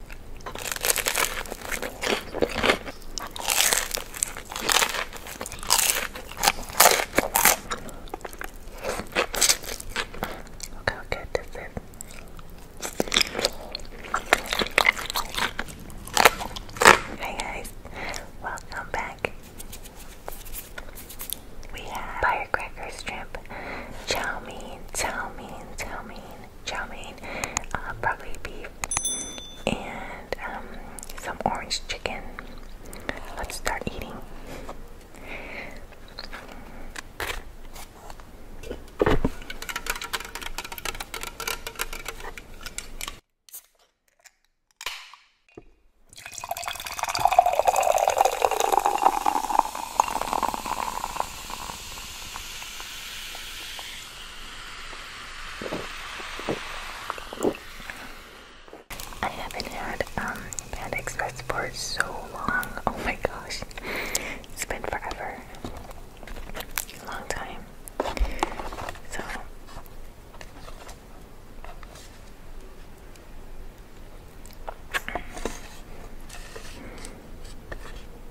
Look how this is. Hi guys, welcome back. We have firecracker strip, chow mein, chow mein, chow mein, chow mein, uh, probably beef, and um, some orange chicken. Let's start eating. I haven't had um Panda Express for so long. Oh my gosh. It's been forever. long time. So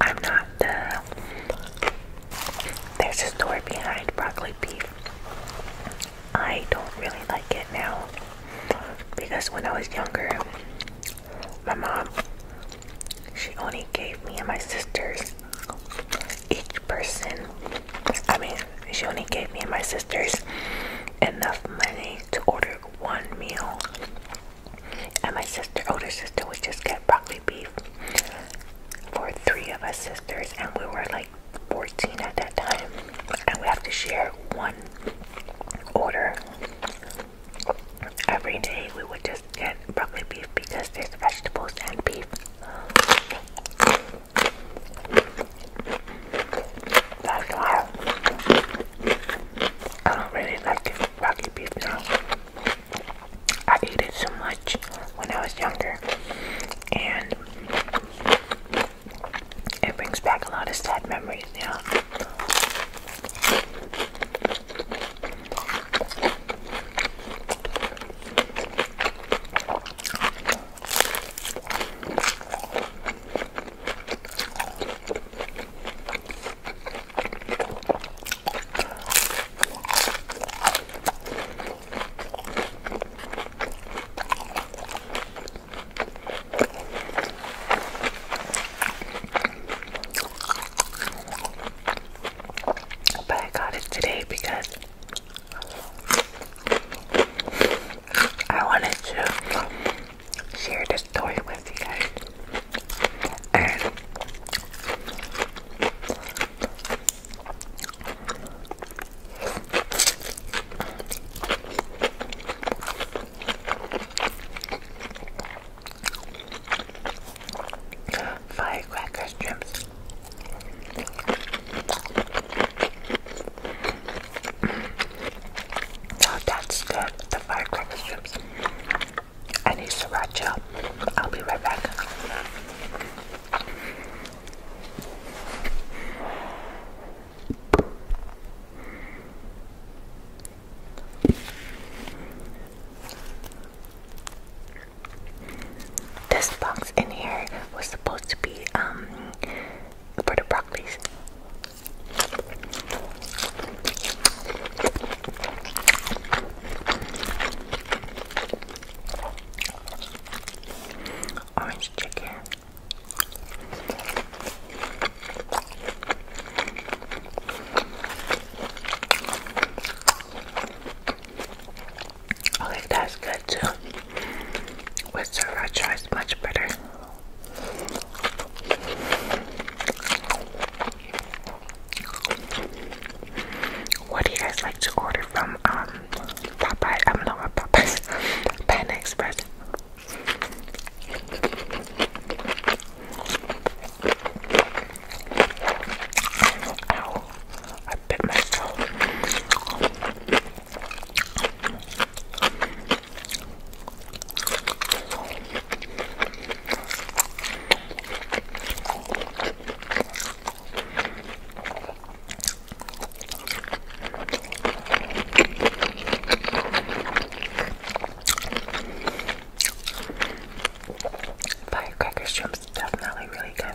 I'm not the. There's a story behind broccoli beef. I don't really like it now because when I was younger, my mom she only gave me and my sisters each person. I mean, she only gave me and my sisters enough money to order one meal, and my sister, older sister, would just get broccoli beef for three of us sisters, and we were like 14 at that time, and we have to share one order every day. We would just get broccoli beef because there's vegetables and beef. That's why I don't really like broccoli beef now. I ate it so much when I was younger, and it brings back a lot of sad memories, now. But I got it today because I wanted to share this story with you guys and firecracker strips. So mm. oh, that's good, the firecracker strips. I need sriracha. I'll be right back. This box in here was supposed to be um for the broccolis. Orange chicken. Okay, that's good too. With sriracha, it's much better. What do you guys like to order from um Popeye? I'm not what Popeye's Pan Express. Ow, I bit myself. Firecracker shrimp's definitely really good.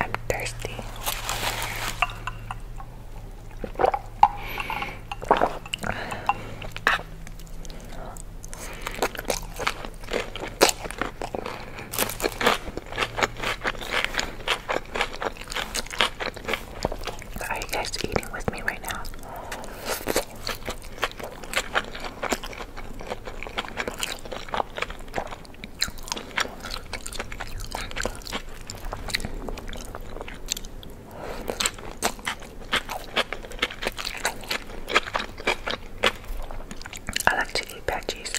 I'm thirsty. Are you guys eating with me right now? I like to eat veggies.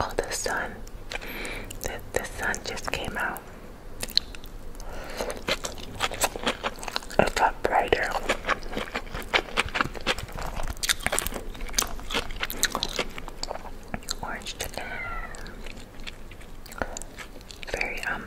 Oh, the sun. The, the sun just came out. It got brighter. Orange chicken. Very, um,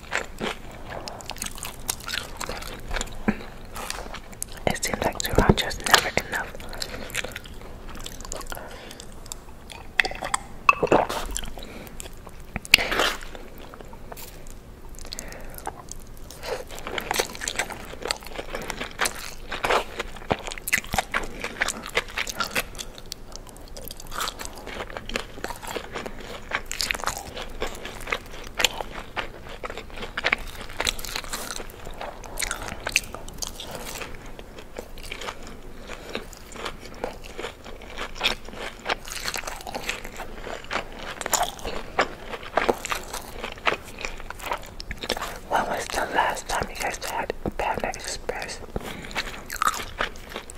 It seems like sriracha is never enough. When was the last time you guys had Panda Express?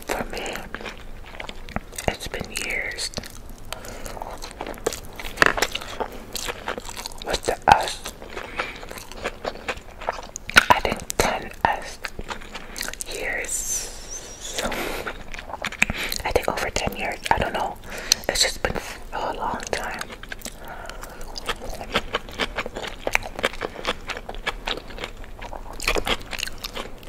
for me, it's been years. What's the us? think 10 us years. I think over 10 years. I don't know. It's just been a long time.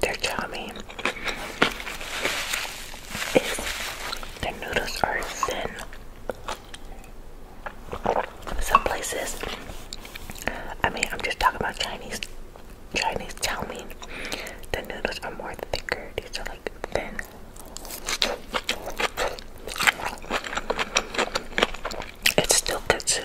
Their chowmein is their noodles are thin. Some places, I mean, I'm just talking about Chinese Chinese chowmein. The noodles are more thicker. These are like thin. It's still good too.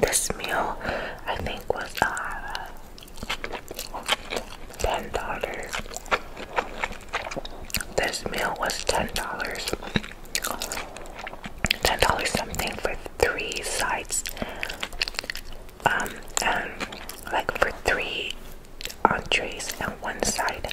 This meal, I think, was uh, $10. This meal was $10. $10 something for three sides. Um, and like for three entrees and one side.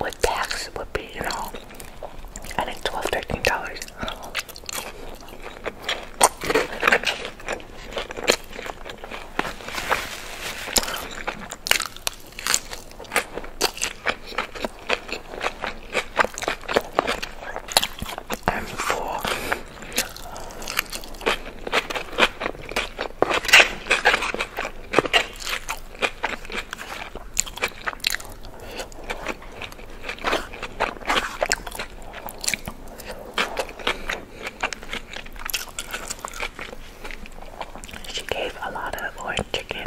With tax, would be, you know, I think 12 $13. I'm full. She gave a lot of orange chicken,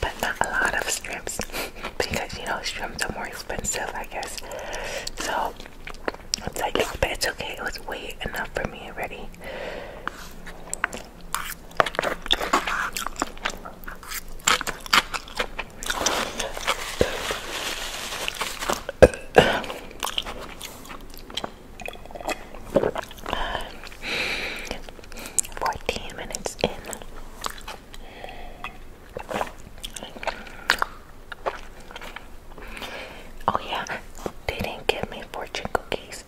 but not a lot of strips because you know shrimps are more expensive, I guess. So it's like it's, but it's okay. It was way enough for me already. Fourteen minutes in. Oh yeah, they didn't give me fortune cookies.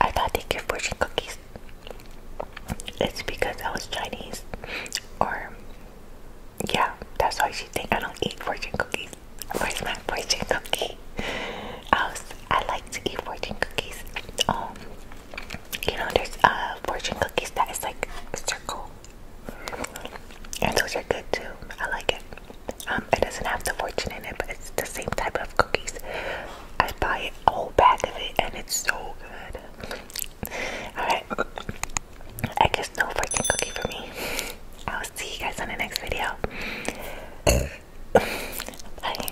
I thought they give fortune cookies. It's because I was Chinese. Or yeah, that's why she think I don't eat fortune cookies. Where's my fortune cookie? I I like to eat fortune cookies. Oh, you know, there's uh, fortune cookies that is like a circle, and those are good too. I like it. Um, it doesn't have the fortune in it, but it's the same type of cookies. I buy a whole bag of it, and it's so good. All right, I guess no fortune cookie for me. I'll see you guys on the next video. Bye.